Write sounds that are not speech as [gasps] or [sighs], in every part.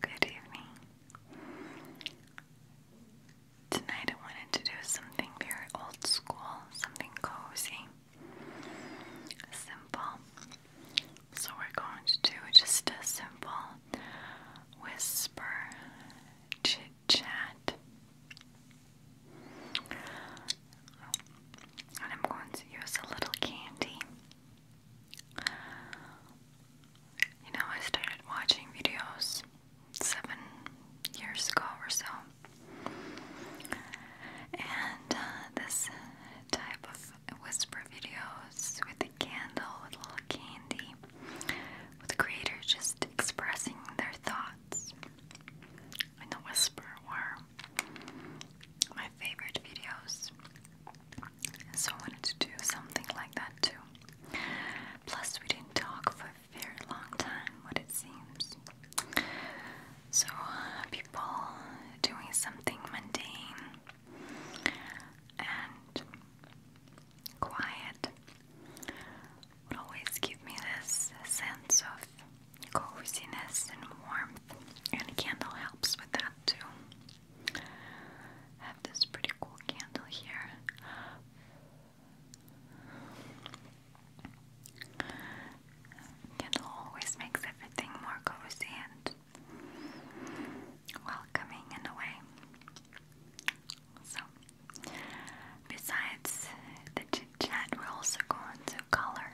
Good evening. Tonight I wanted to do something very old school, something cozy, simple. So we're going to do just a simple whisper chit chat. And I'm going to use a little candy. You know, I started watching videos seven years ago or so. And uh, this type of whisper videos with a candle, with a little candy, with the just expressing their thoughts and The Whisper were my favorite videos. So I wanted to do something like that too. Plus, we didn't talk for a very long time, what it seems. So, uh, people doing something mundane and quiet would always give me this sense of coziness and warmth, and a candle helps with that too. have this pretty cool candle here. Candle always makes everything more cozy and welcoming in a way. So, besides the chit chat, we're also going to color.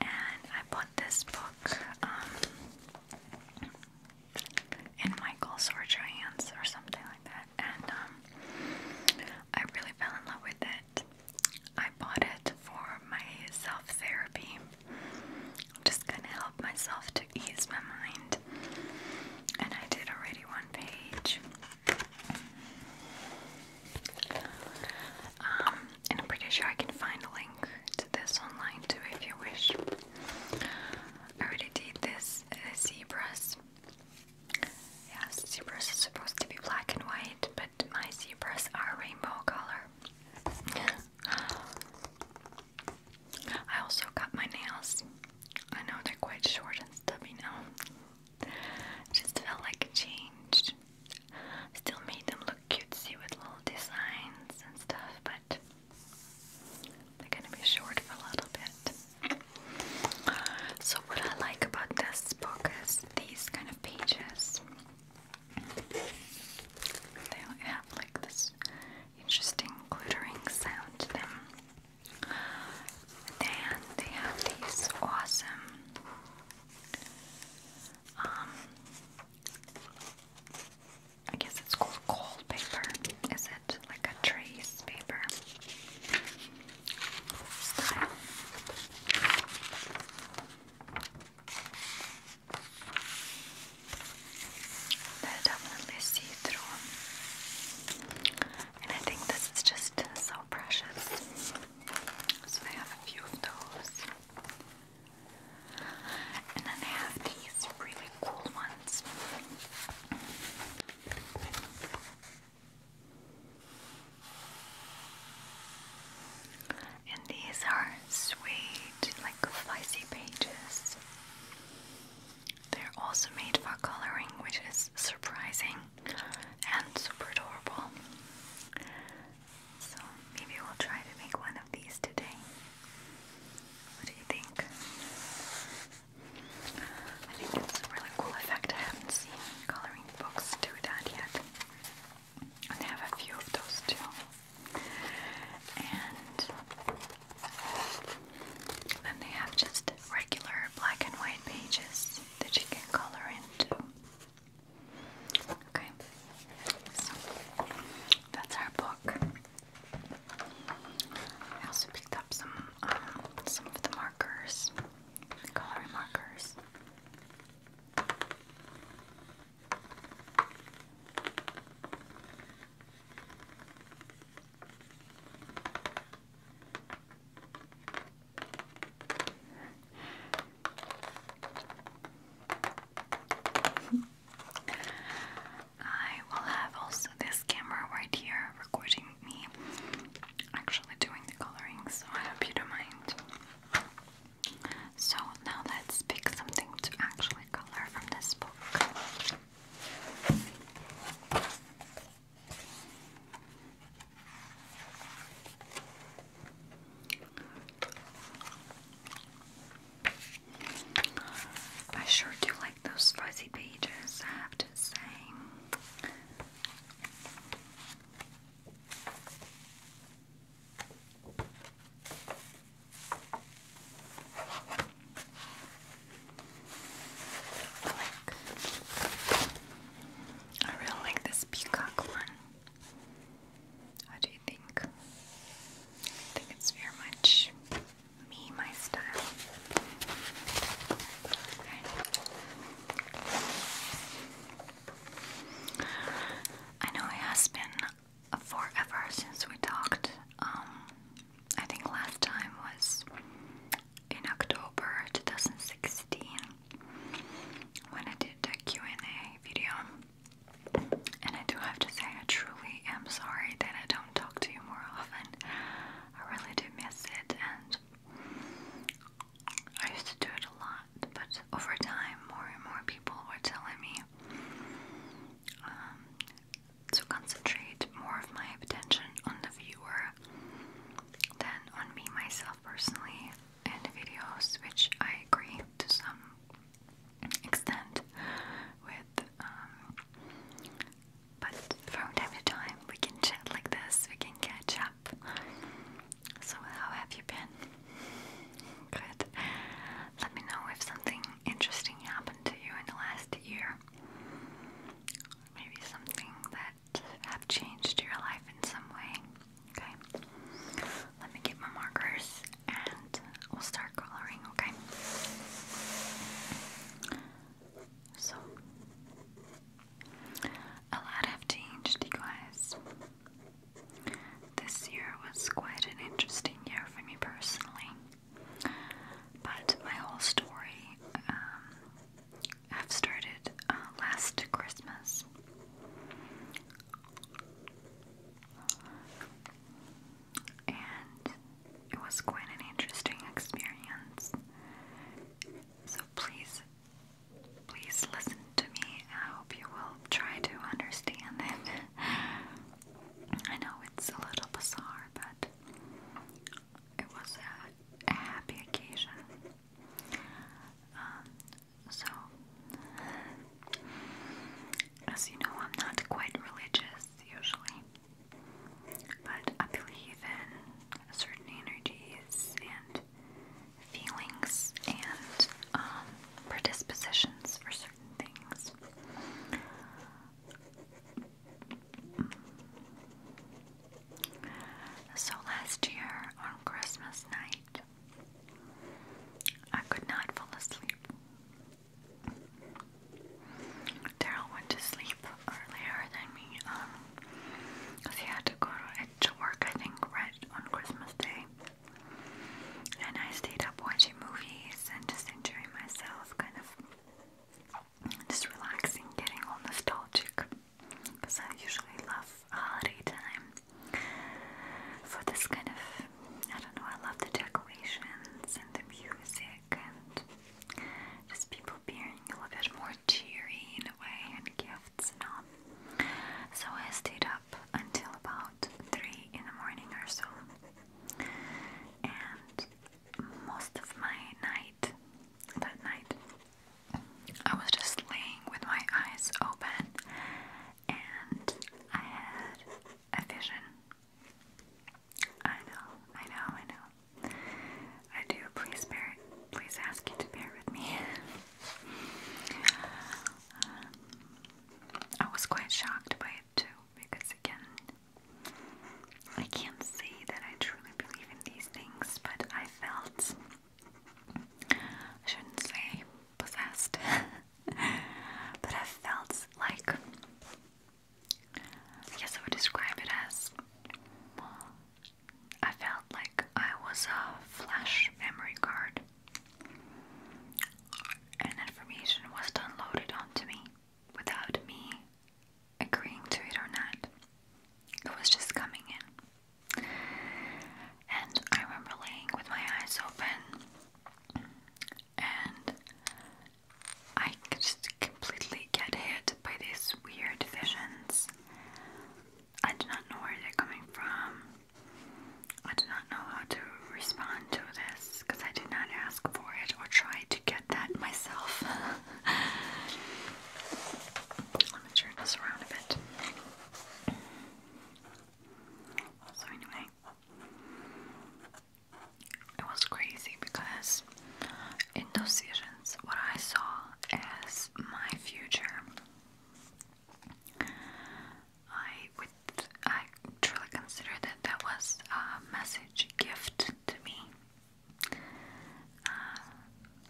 And I bought this book um, in Michael's or Giants or something like that. And um, I really fell in love with it. I bought it for my self therapy. just gonna help myself to ease my mind. And I did already one page. Um, and I'm pretty sure I can find a link to this online too if you wish. I already did this uh, Yes, zebras are supposed to be black and white, but my zebras are rainbow color. [gasps] I also cut my nails. I know they're quite short and stubby now. Just felt like it changed. Still made them look cutesy with little designs and stuff, but they're gonna be short for a little bit. So what I like about this book is these kind of pages. They have like this interesting glittering sound to them. And they have these awesome um, I guess it's called cold paper. Is it like a trace paper style? They're definitely see-through, and I think this is just so precious. So I have a few of those. And then I have these really cool ones. And these are sweet, like spicy pages. They're also made for coloring, which is surprising and super adorable. So maybe we'll try to make one of these today. What do you think? I think it's a really cool effect. I haven't seen coloring books do that yet. I have a few of those too. And then they have just regular black and white pages that you can color into. Okay, so that's our book. I also picked up some um, some of the markers, the coloring markers. I will have also this camera right here recording me actually doing the coloring, so I hope you don't mind. So now let's pick something to actually color from this book. I sure do like those fuzzy pages, I have to say. I really like this peacock one. What do you think? I think it's very much me, my style. I know it has been forever since we talked. Um, I think last time was in October 2016 when I did the Q&A video. And I do have to say I truly am sorry that I don't talk to you more often. I really do miss it and I used to do it a lot, but over time more and more people were telling me um, to concentrate more of my attention on the viewer than on me myself personally in videos, which I agree to some extent with. Um, but from time to time, we can chat like this, we can catch up. So, how have you been? Good. Let me know if something interesting happened to you in the last year. Maybe something that that have changed your life in some way. Okay, let me get my markers and we'll start coloring. Okay, so a lot have changed, you guys. This year was quite an interesting year for me personally, but my whole story um, i have started uh, last Christmas. And it was quite an interesting experience. So please, please listen to me. I hope you will try to understand it. [laughs] I know it's a little bizarre, but it was a happy occasion. Um, so, as you know, I'm not quite religious usually, but I believe in certain energies and feelings and um, predispositions for certain things. So last year on Christmas night, I could not fall asleep. Daryl went to sleep earlier than me, um, because he had to go to, to work, I think, right on Christmas Day. And I stayed up watching movies and just enjoying myself, kind of just relaxing, getting all nostalgic. Because I usually love holiday time for this kind of I don't know, I love the decorations and the music and just people being a little bit more cheery in a way and gifts and So I stayed up until about three in the morning or so. And most of my night that night I was just laying with my eyes open and I had a vision. I know, I know, I know. I do. Please bear Please ask you to bear with me. Um, I was quite shocked by it too, because again, I can't say that I truly believe in these things, but I felt I shouldn't say possessed, [laughs] but I felt like I guess I would describe it as I felt like I was a flash memory card, and information was downloaded onto me without me agreeing to it or not. It was just coming in. And I remember laying with my eyes open, and I just completely get hit by these weird visions. I do not know where they're coming from. I do not know how to respond to this because I did not ask for it or try to get that myself. [laughs] Let me turn this around a bit. So anyway, it was crazy because in those seasons, what I saw as my future, I would I truly consider that that was a message, gift to me. Uh,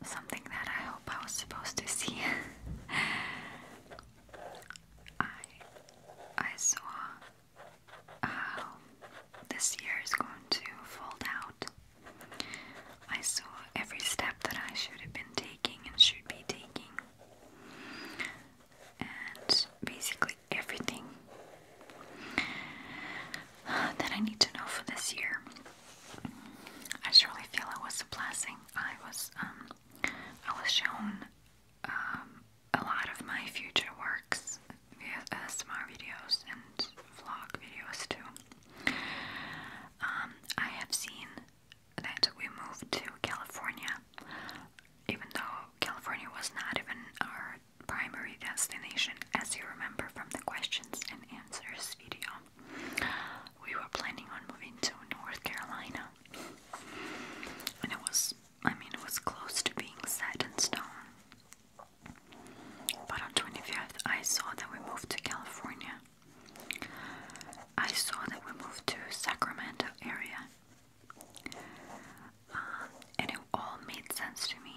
something that I hope I was supposed to see. [laughs] I I saw how this year is going to fold out. I saw every step that I should have been taking and should be taking. And basically everything [sighs] that I need to know for this year. I surely feel it was a blessing. I was um, I was shown um, a lot of my future works via ASMR uh, videos and vlog videos too. Um, I have seen that we moved to California, even though California was not even our primary destination, as you remember from the questions and answers video we were planning on moving to North Carolina. And it was, I mean, it was close to being set in stone. But on 25th, I saw that we moved to California. I saw that we moved to Sacramento area. Um, and it all made sense to me.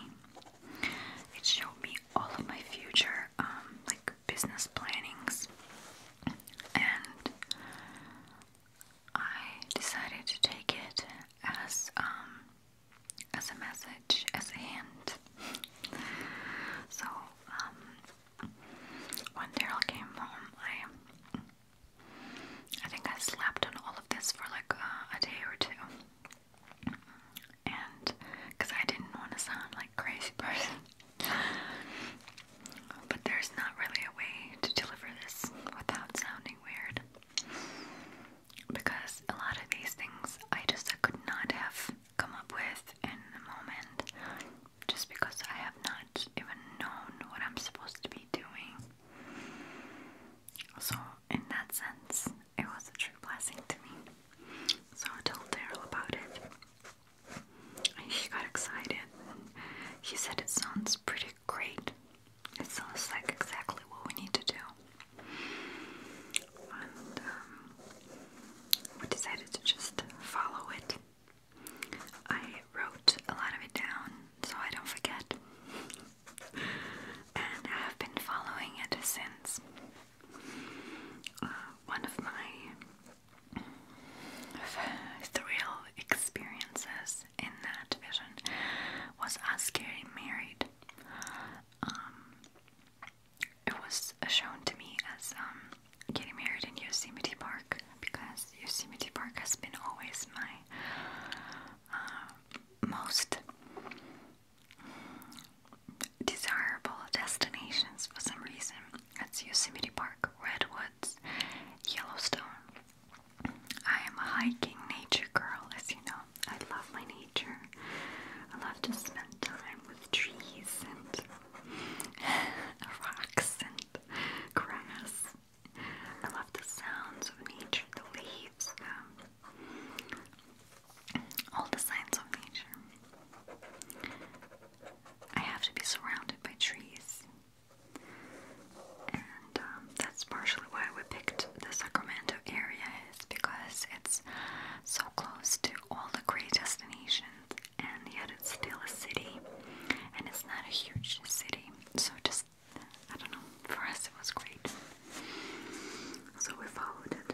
It showed me all of my future, um, like business plannings and I decided to take it as um as a message, as a hint. so um, when Daryl came home I I think I slept on all of this for like uh, a day or two and because I didn't want to sound like a crazy person. But there's not really a way to deliver this without sounding weird. Because a lot of these things I just could not have come up with in the moment just because I have not even known what I'm supposed to be doing. So, in that sense, it was a true blessing to me. So, I'll tell about it. He got excited. He said it sounds pretty great. It sounds like exactly what we need to do. Um, we decided to just follow it. I wrote a lot of it down so I don't forget. [laughs] And I have been following it since one of my thrill experiences in that vision was us getting married. Um, it was shown to me as um, getting married in Yosemite Park because Yosemite Park has been always my uh, most desirable destinations for some reason. That's Yosemite Park, Redwoods, Yellowstone. I am a hiking nature girl, as you know. I love my nature. I love to spend time with trees and [laughs] rocks and grass. I love the sounds of nature, the leaves, um, all the signs of nature. I have to be surrounded by trees. And um, that's partially why we picked the Sacramento area is because it's so close to all the great destinations and yet it's still a city and it's not a huge city. So just I don't know, for us it was great. So we followed it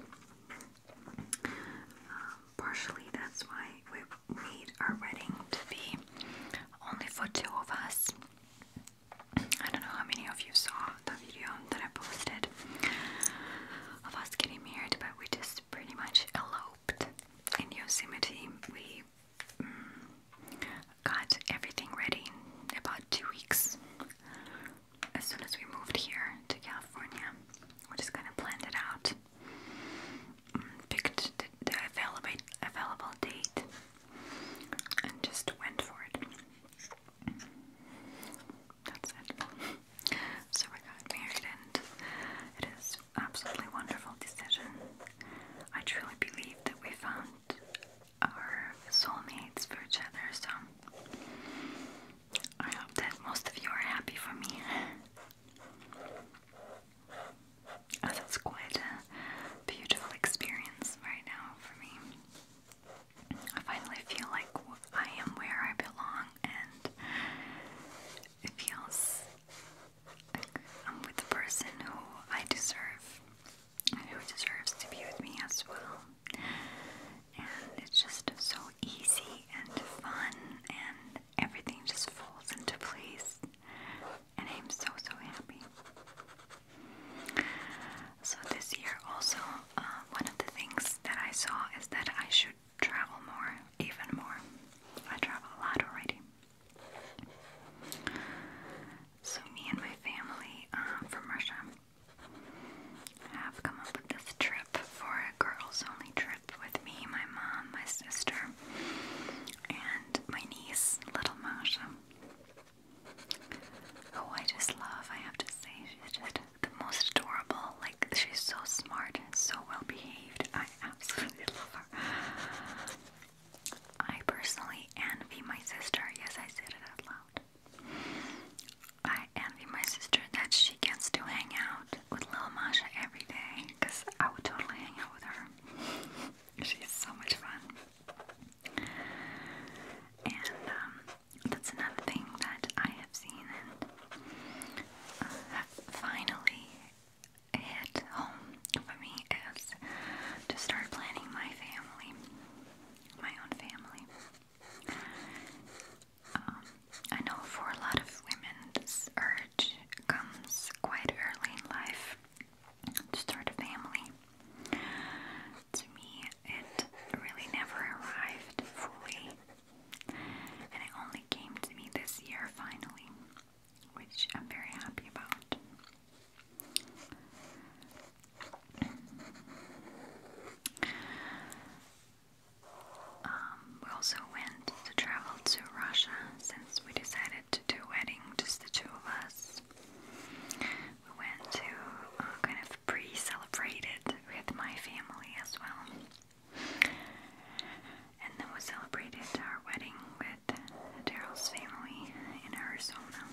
partially that's why we made our wedding to be only for two of us. I don't know how many of you saw the video that I posted of us getting married, but we just pretty much eloped in Yosemite. We mm, got everything ready about two weeks as soon as we moved here to California, we just kind of planned it out, mm, picked the, available, available date, and just went for it. That's it. So we got married, and it is absolutely wonderful decision. I truly believe that we found our soulmates for each other, so I hope that most of you are happy for me. As [laughs] it's quite a beautiful experience right now for me. I finally feel like I am where I belong and it feels I'm with the person who I deserve who deserves to be with me as well. And it's just so easy and fun, and everything just falls into place. And I'm so so happy. So this year also, uh, one of the things that I saw is that I should travel more, even more. I travel a lot already. So me and my family um, from Russia have come up with this trip for a girls-only trip with me, my mom, my sister, and my niece, little Masha, who I just love. I have to say, she's just the most adorable. Like she's so smart and so well behaved. I absolutely love her. I personally envy my sister. Yes, I said it out loud. I envy my sister that she gets to hang out with Lil Masha every day because I would totally hang out with her. [laughs] She's so much fun. And um, that's another thing that I have seen uh, finally hit home for me is to start planning my family, my own family. Um, I know for a lot of women, this urge comes quite early in life to start a family. To me, it really never arrived fully, and it only came to me this year finally, which I'm very happy about. Um, we also went to travel to Russia since we decided to do a wedding, just the two of us. We went to uh, kind of pre-celebrate it with my family as well. And then we celebrated our wedding with Daryl's family in Arizona.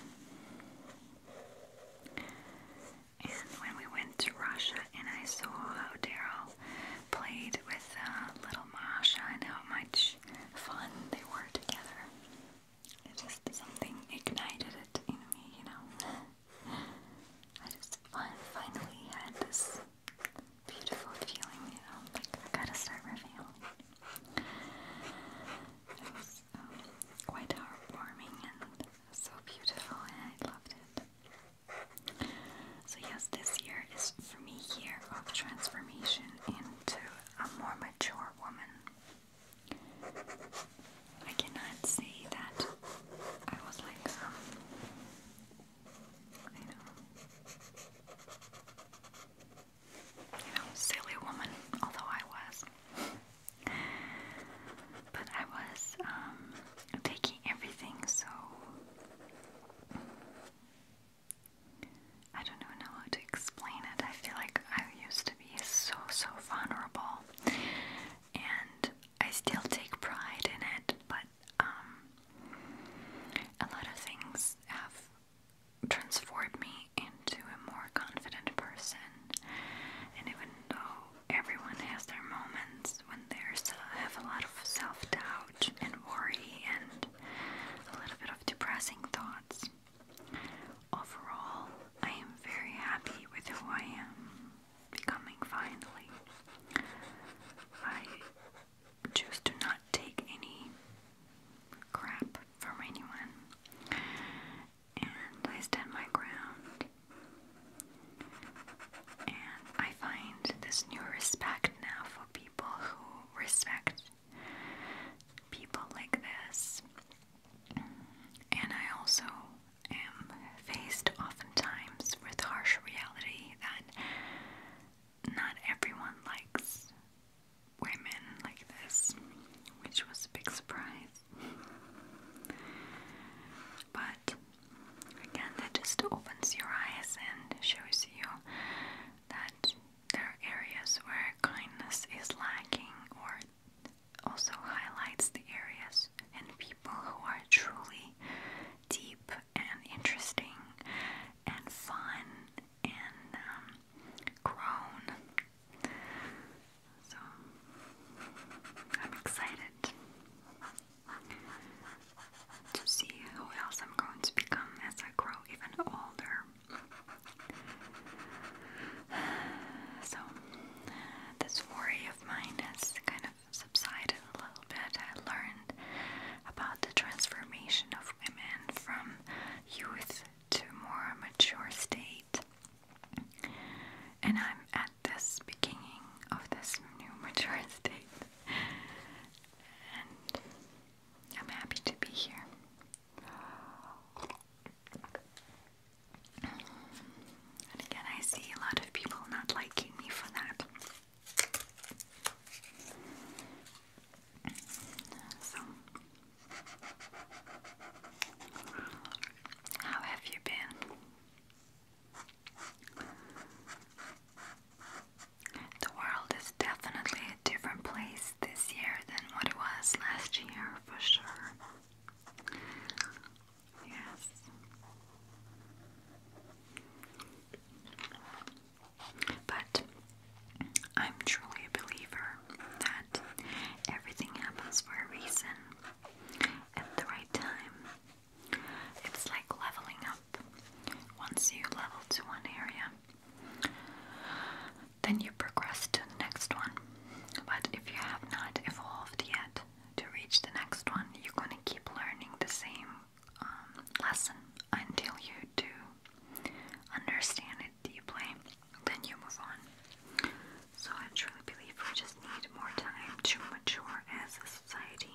And when we went to Russia, and I saw how Daryl played with uh, little Masha and how much fun they were together, it just something ignited it in me, you know. [laughs] I just finally had this beautiful feeling, you know, like I gotta start my family. It was um, quite heartwarming and so beautiful, and I loved it. So yes, this year is for me year of transformation into a more mature woman. I cannot say that I was like um, you know you know, silly woman, although I was. But I was um taking everything, so I don't know how to explain it. I feel like I used to be so, so vulnerable, and I still take pride in it, but um, a lot of things have transformed me into a more confident person, and even though everyone has their moments when there's uh, have a lot of self-doubt and worry and a little bit of depressing thoughts. Overall, I am very happy with who I am becoming finally. I choose to not take any crap from anyone, and I stand my ground. And I find this new respect now for people who respect people like this. And I also am faced oftentimes with harsh reality that not everyone likes women like this, which was a big surprise. But again, that just opens your eyes and shows you that there are areas where kindness is lacking, or also highlights the areas and people who are truly deep and interesting and fun and um, grown. So I'm excited to see who else I'm going to become as I grow even older. [sighs] So, this worry of mine has kind of subsided a little bit. I learned about the transformation of women from youth to more mature state. And I'm at this beginning of this new maturity, and I'm happy to be here. And again, I see a lot of people not liking me for that. So, how have you been? The world is definitely a different place this year than what it was last year, for sure. Yes. But I'm truly a believer that everything happens for a reason at the right time it's like leveling up. Once you level to one area, then you progress to the next one. But if you have not evolved yet to reach the next one, you're going to keep learning the same um, lesson until you do understand it deeply. Then you move on. So I truly believe just need more time to mature as a society.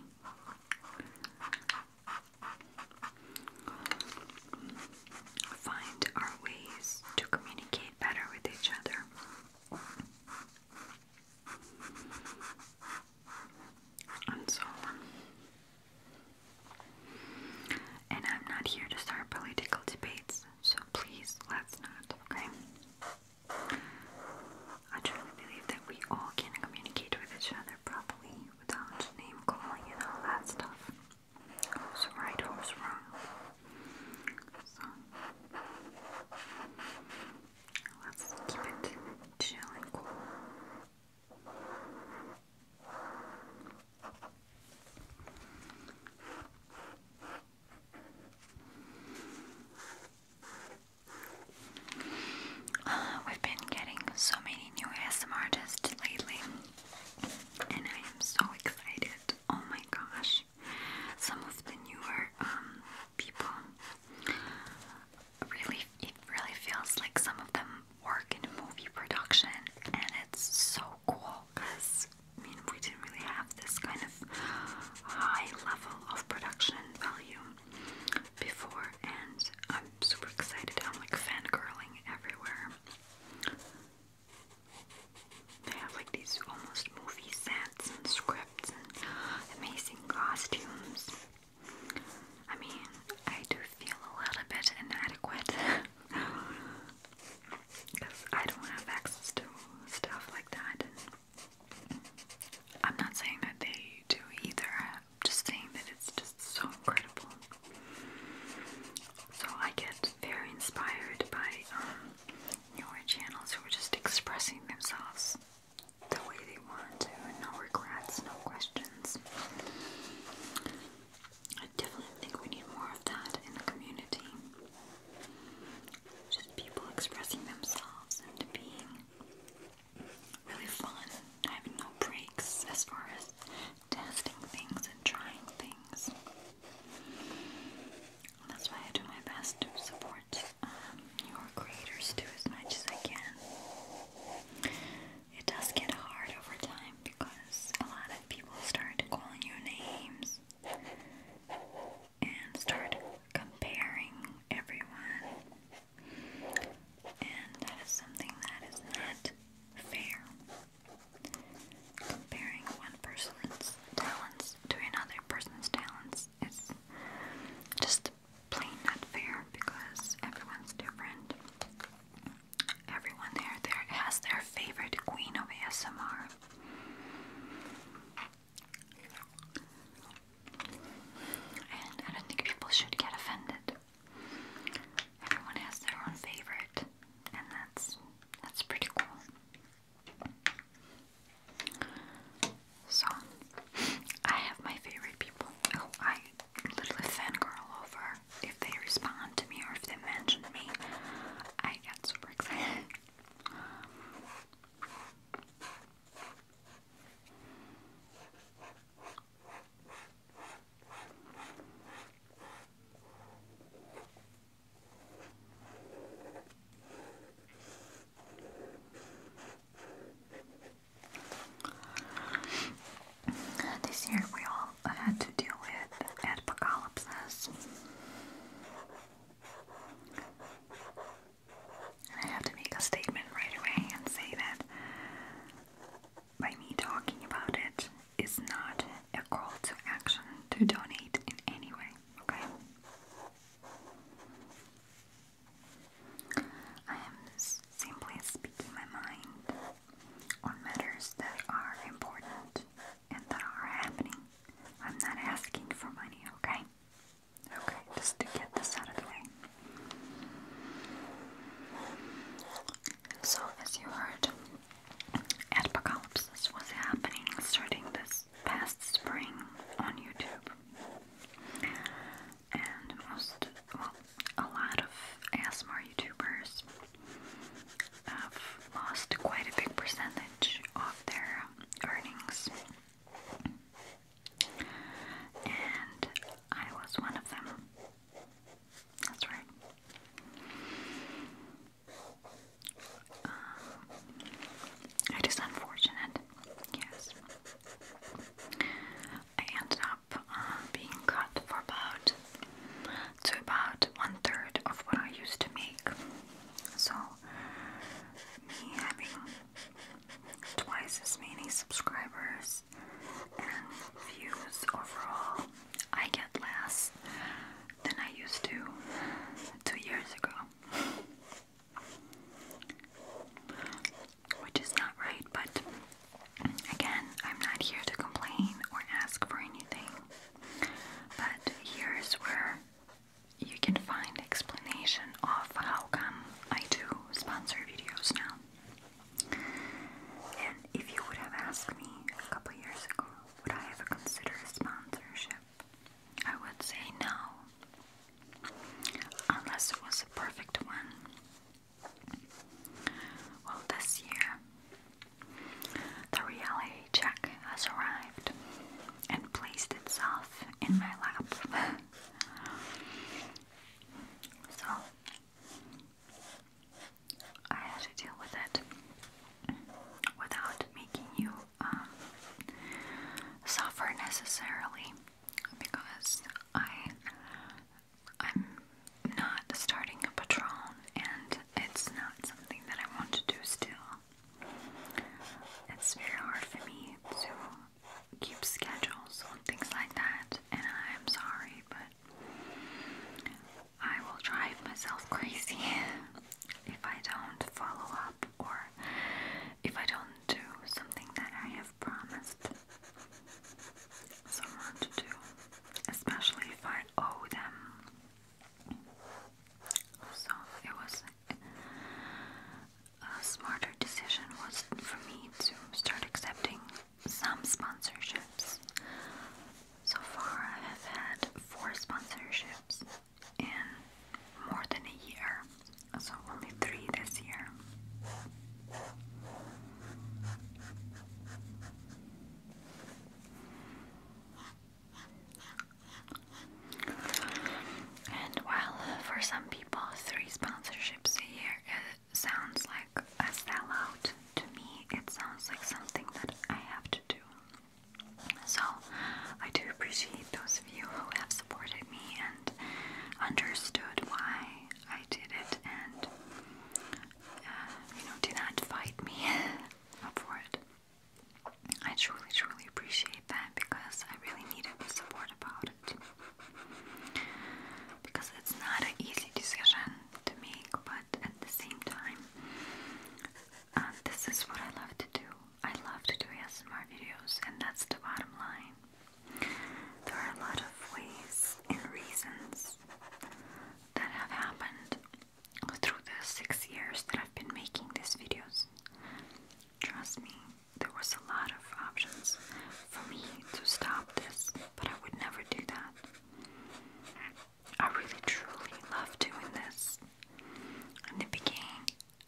Find our ways to communicate better with each other. And so, and I'm not here to start political debates, so please let's not, okay? I truly believe that we all can communicate with each other properly without name calling and all that stuff. Who's right, who's wrong. So, let's keep it chill and cool. [sighs] we've been getting so many new ASMR artists lately, and I am so excited. Oh my gosh! Some of the newer um, people really, really feels like some of them work in movie production, and it's so cool because I mean, we didn't really have this kind of high level of production value before, and I'm super excited. I'm like fangirling everywhere. They have like these almost movie sets and scripts and amazing costumes. I mean, I do feel a little bit inadequate because [laughs] I don't have access to stuff like that, I'm not saying that they do either, I'm just saying that it's just so incredible. So I get very inspired by um, newer channels who are just expressing themselves the way they want to, no regrets, no questions. I definitely think we need more of that in the community. Just people expressing themselves and being really fun having no breaks as far as testing things and trying things. that's why I do my best to support um, your creators too as much as I can. It does get hard over time because a lot of people start calling you names and start comparing everyone. And that is something that is not fair. Comparing one person's talents to another person's talents is just plain not fair because everyone's different. Everyone there there has their favorite queen of ASMR. And I don't think people should get offended. Everyone has their own favorite, and that's that's pretty cool. So I have my favorite people who oh, I literally fangirl over. If they respond to me or if they mention me, I get super excited. This year we all had to deal with apocalypses. I have to make a statement right away and say that by me talking about it is not a call to action to donate in any way, okay? I am simply speaking my mind on matters that are important and that are happening. I'm not asking for money, okay? Okay, just to get this out of the way. So, as you heard, apocalypse was happening starting this past spring on YouTube. And most, well, a lot of ASMR YouTubers have lost quite a big percentage of their earnings and I was one of them. That's right. Um, it is unfortunate, yes. I ended up uh, being cut for about to about one third of what I used to make. So me having twice as many subscribers and views overall. I get less than I used to two years ago. Which is not right, but again, I'm not here to complain or ask for anything. But here's where you can find explanation of how come I do sponsor videos now. And if you would have asked me a couple years ago, would I ever consider sponsorship? I would say no. Unless it was a perfect one. Well, this year, the reality check has arrived and placed itself in my lap. [laughs] So I had to deal with it without making you um, suffer necessarily because I I'm not starting a patron and it's not something that I want to do still. It's very hard for me to keep schedules on things like that, and I'm sorry, but I will drive myself crazy [laughs] if I don't follow up or if I don't do something that I have promised someone to do, especially if I owe them. So it was a smarter decision was for me to start accepting some sponsorships. So far, I have had four sponsorships in more than a year, so only three this year. And while for some people three sponsorships a year sounds like a sellout, to me it sounds like something that I have to do. So I do appreciate those of you who have supported me and understood why I did it and uh, you know did not fight me [laughs] for it. I truly, truly appreciate that because I really needed the support about it. Because it's not an easy decision to make, but at the same time, uh, this is what I love to do. I love to do ASMR videos, and that's the bottom line. There are a lot of ways and reasons that have happened through the six years that I've been making these videos. Trust me, there was a lot of options for me to stop this, but I would never do that. I really truly love doing this. In the beginning,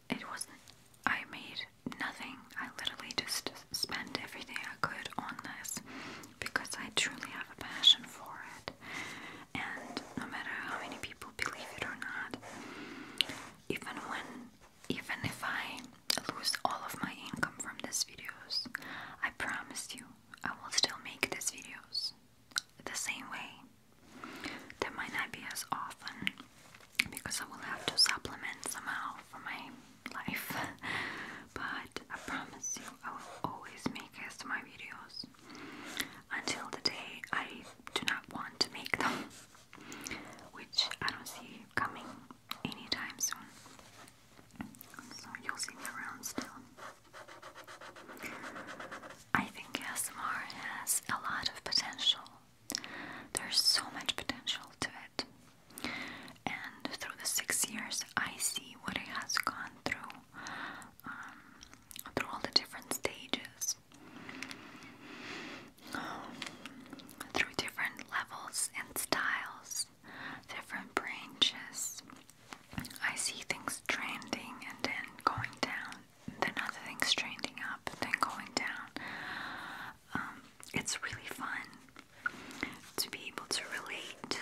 it wasn't, I made nothing. I literally just spent everything I could on this because I truly have a passion for it. And no matter how many people believe it or not, even when even if I lose all of my income from these videos, I promise you I will still make these videos the same way. They might not be as often because I will have to supplement somehow for my life, [laughs] but I promise you I will always make ASMR videos until the day I do not want to make them which I don't see coming anytime soon. So you'll see me around still. I think ASMR has a lot of potential. There's so much potential to it. And through the six years, I see what it has gone through, um, through all the different stages through different levels and styles, different branches. I see things trending and then going down, then other things trending up, and then going down. Um, it's really fun to be able to relate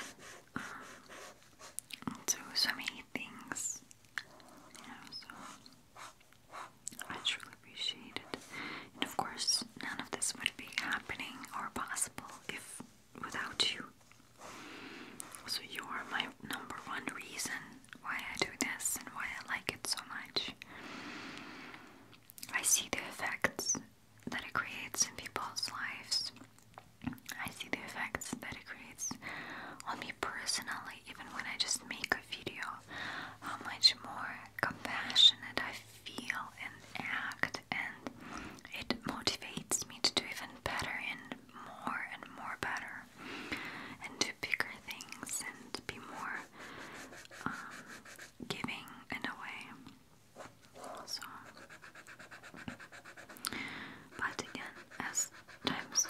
um, to so many things. I truly appreciate it. And of course, none of this would be happening or possible if without you. So you are my number one reason why I do this and why I like it so much. I see the effects that it creates in people's lives. I see the effects that it creates on me personally even when I just make a video, how much more compassionate I feel and act, and it motivates me to do even better and more and more better, and do bigger things and be more um, giving in a So, but again, as times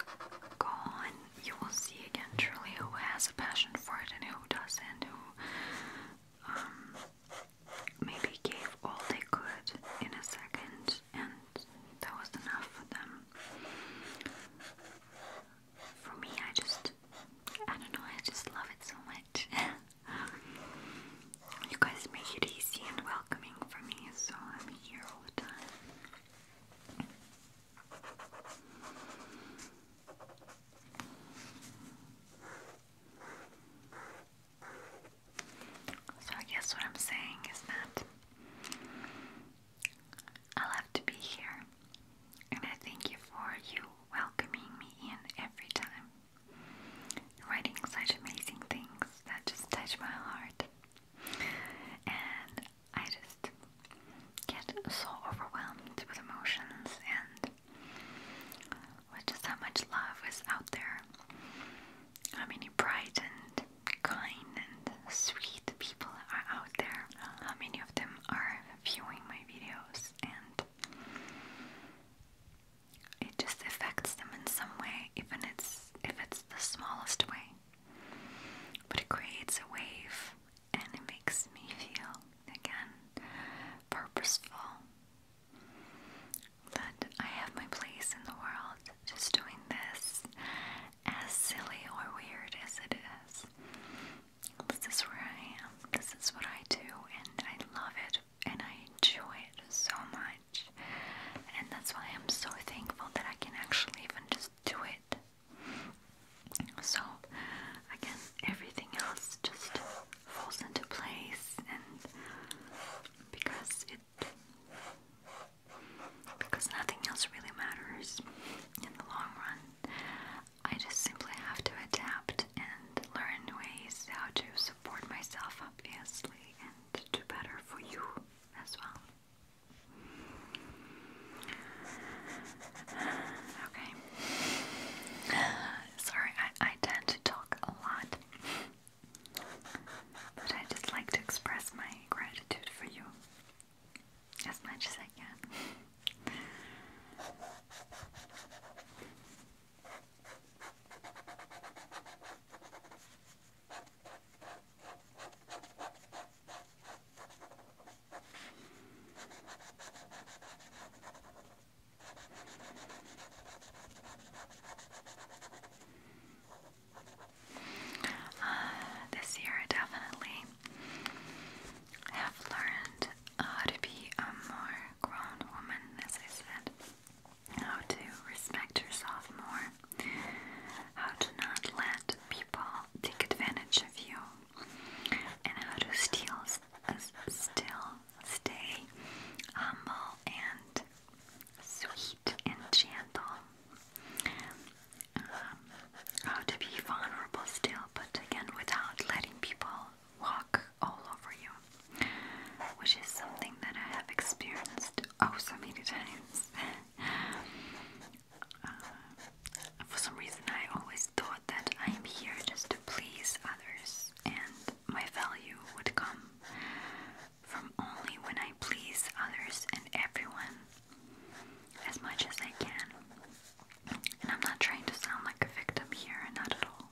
go on, you will see again truly who has a passion for it and who doesn't, who um, maybe gave all they could in a second and that was enough for them. For me, I just, I don't know, I just love it so much. [laughs] you guys make it easy and welcoming for me, so I'm here all the time. So, I guess what I'm saying is that I love to be here, and I thank you for you welcoming me in every time, writing such amazing things that just touch my heart. And I just get so overwhelmed with emotions and with just how much love is out there. How many bright and kind and sweet people are out there. How many of them are viewing my videos and it just affects them in some way, even it's if it's the smallest way. But it creates a wave and it makes me feel again purposeful that I have my place in the world just doing this, as silly or weird as it is. This is where I am, this is what I do, and I love it and I enjoy it so much. And that's why I'm so thankful that I can actually even just do it so, again, everything else just falls into place, and because it because nothing else really matters in the long run, I just simply have to adapt and learn ways how to support myself, obviously, and do better for you as well. Okay. [sighs] Sorry, I, I tend to talk a lot. But I just like to express my gratitude for you as much as I can. Uh, this year, I definitely have learned how to be a more grown woman, as I said. How to respect yourself more, how to not let people take advantage of you and how to steal, still stay humble and sweet and gentle. Um, how to be vulnerable still, but again without letting people walk all over you, which is something that I have experienced oh so many times. [laughs] Uh, for some reason I always thought that I'm here just to please others, and my value would come from only when I please others and everyone as much as I can. And I'm not trying to sound like a victim here, at all.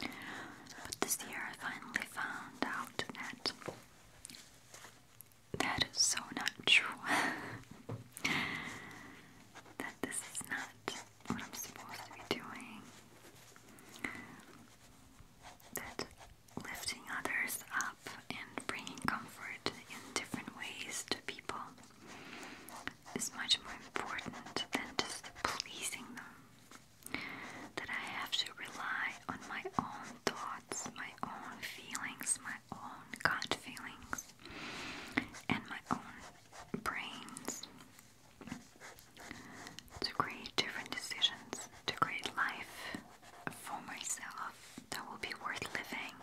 But this year I finally found out that that is so not true. [laughs] that this is not what I'm supposed to be doing. That lifting others up and bringing comfort in different ways to people is much more important than just pleasing them. That I have to rely on my own thoughts, my own feelings, my own gut feelings and my own brains to create different decisions, to create life for myself that will be worth living,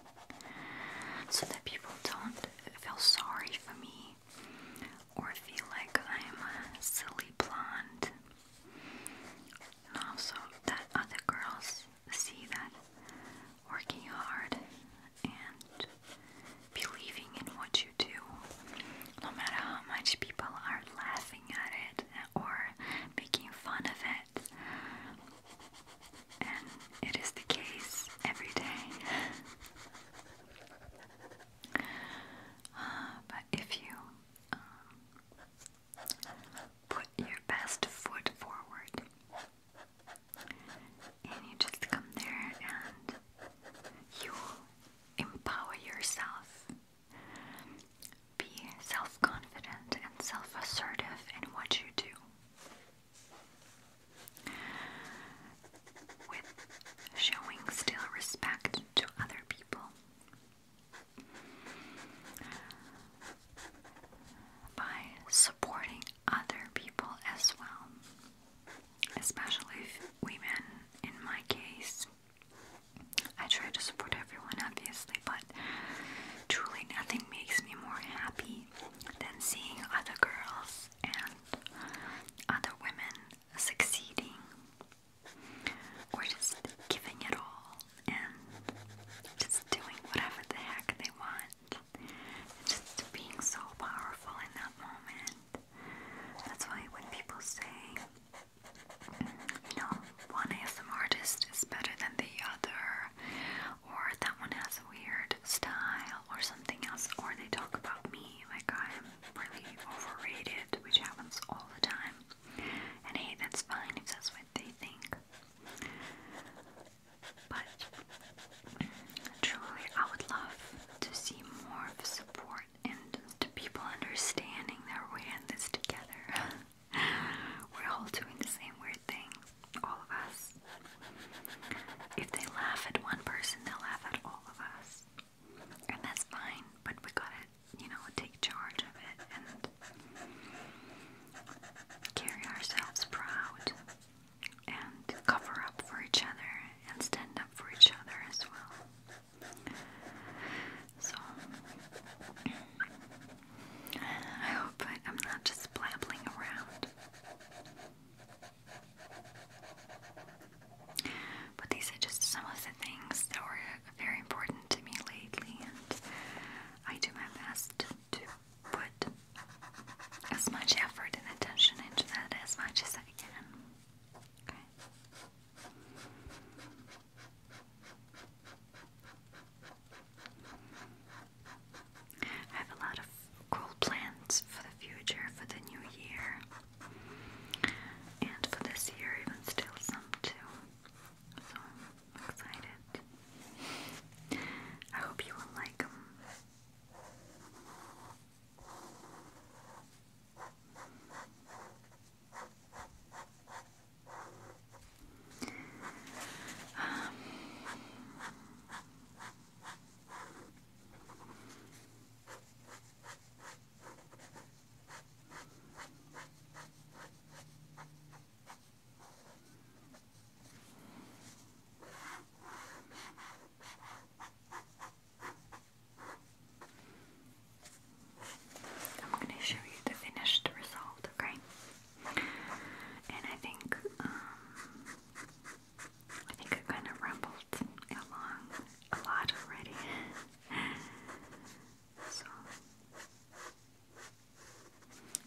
so that people don't feel sorry for me or feel like I'm a silly blonde. And also that other girls see that working hard and believing in what you do, no matter how much people are laughing at it or making fun of it, and it is the case every day. Uh, but if you um, put your best foot forward, and you just come there and you empower yourself. Be self confident and self assertive in what you do. With showing still respect to other people by supporting other people as well, especially women. In my case, I try to support everyone, obviously, but truly nothing makes me more happy than seeing other girls and other women succeeding. we just giving it all and just doing whatever the heck they want much. And just being so powerful in that moment. That's why when people say, you know, one ASM artist is better than the other, or that one has a weird style, or something else, or they talk about me like I'm really overrated, which happens all the time. And hey, that's fine if that's what they think. But truly, I would love to see more support and to people understanding that we're in this together. [laughs] we're all doing the same weird things, all of us. If they laugh at one person, they'll laugh at all of us. And that's fine, but we gotta, you know, take charge of it and Carry ourselves proud and cover up for each other and stand up for each other as well. So, I hope I, am not just blabbling around. But these are just some of the things that were very important to me lately, and I do my best to put as much effort and attention into that as much as I can. Okay. I have a lot of cool plans for the future, for the new year, and for this year, even still, some too. So, i excited. I hope you will like them. Um, I'm going to show you the finished result, okay? And I think, um, I think I kind of rambled along a lot already. [laughs] so,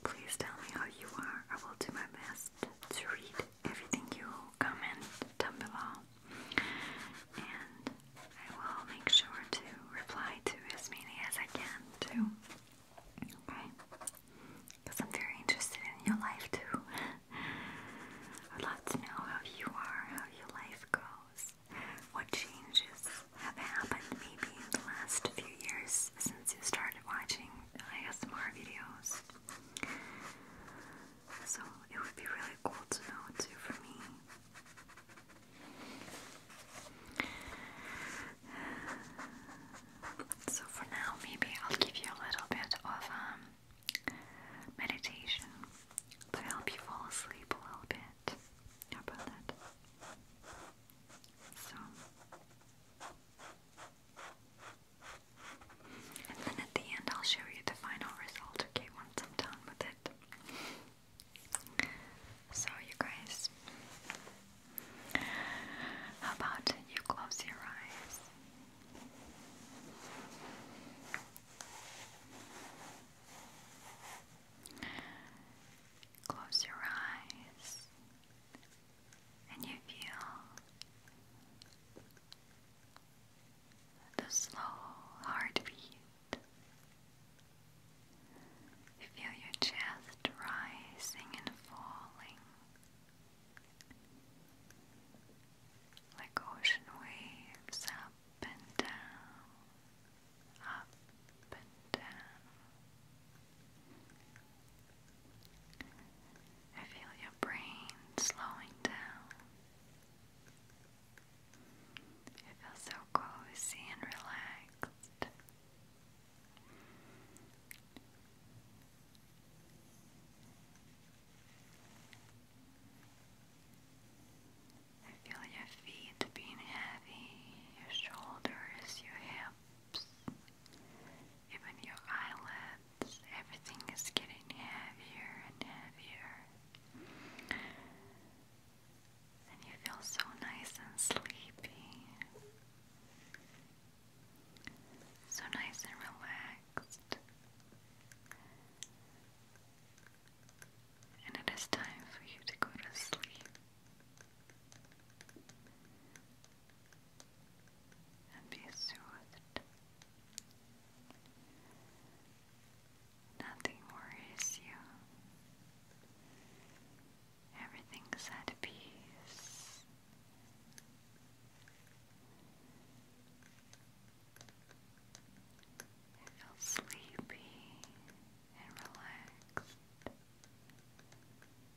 Please tell me how you are. I will do my best to read everything you comment down below. And I will make sure to reply to as many as I can, too. Okay? Because I'm very interested in your life, too. [laughs] I'd love to know how you are, how your life goes, what changes have happened maybe in the last few years since since you started watching ASMR videos. So it would be really cool to know too for me. So for now, maybe I'll give you a little bit of um, meditation to help you fall asleep a little bit. How about that? So. And then at the end, I'll show you the final result, okay, once I'm done with it. So, you guys, how about you close your eyes? Close your eyes and you feel the slow heartbeat. You feel your chest rising and falling like ocean waves up and down, up and down. I feel your brain slowing down. You feel so cozy and relaxed. I feel your feet being heavy, your shoulders, your hips, even your eyelids, everything is getting heavier and heavier. And you feel so nice and sleepy. So nice and relaxed. And it is time for you to go to sleep and be soothed. Nothing worries you. Everything's at peace. You feel sleepy and relaxed.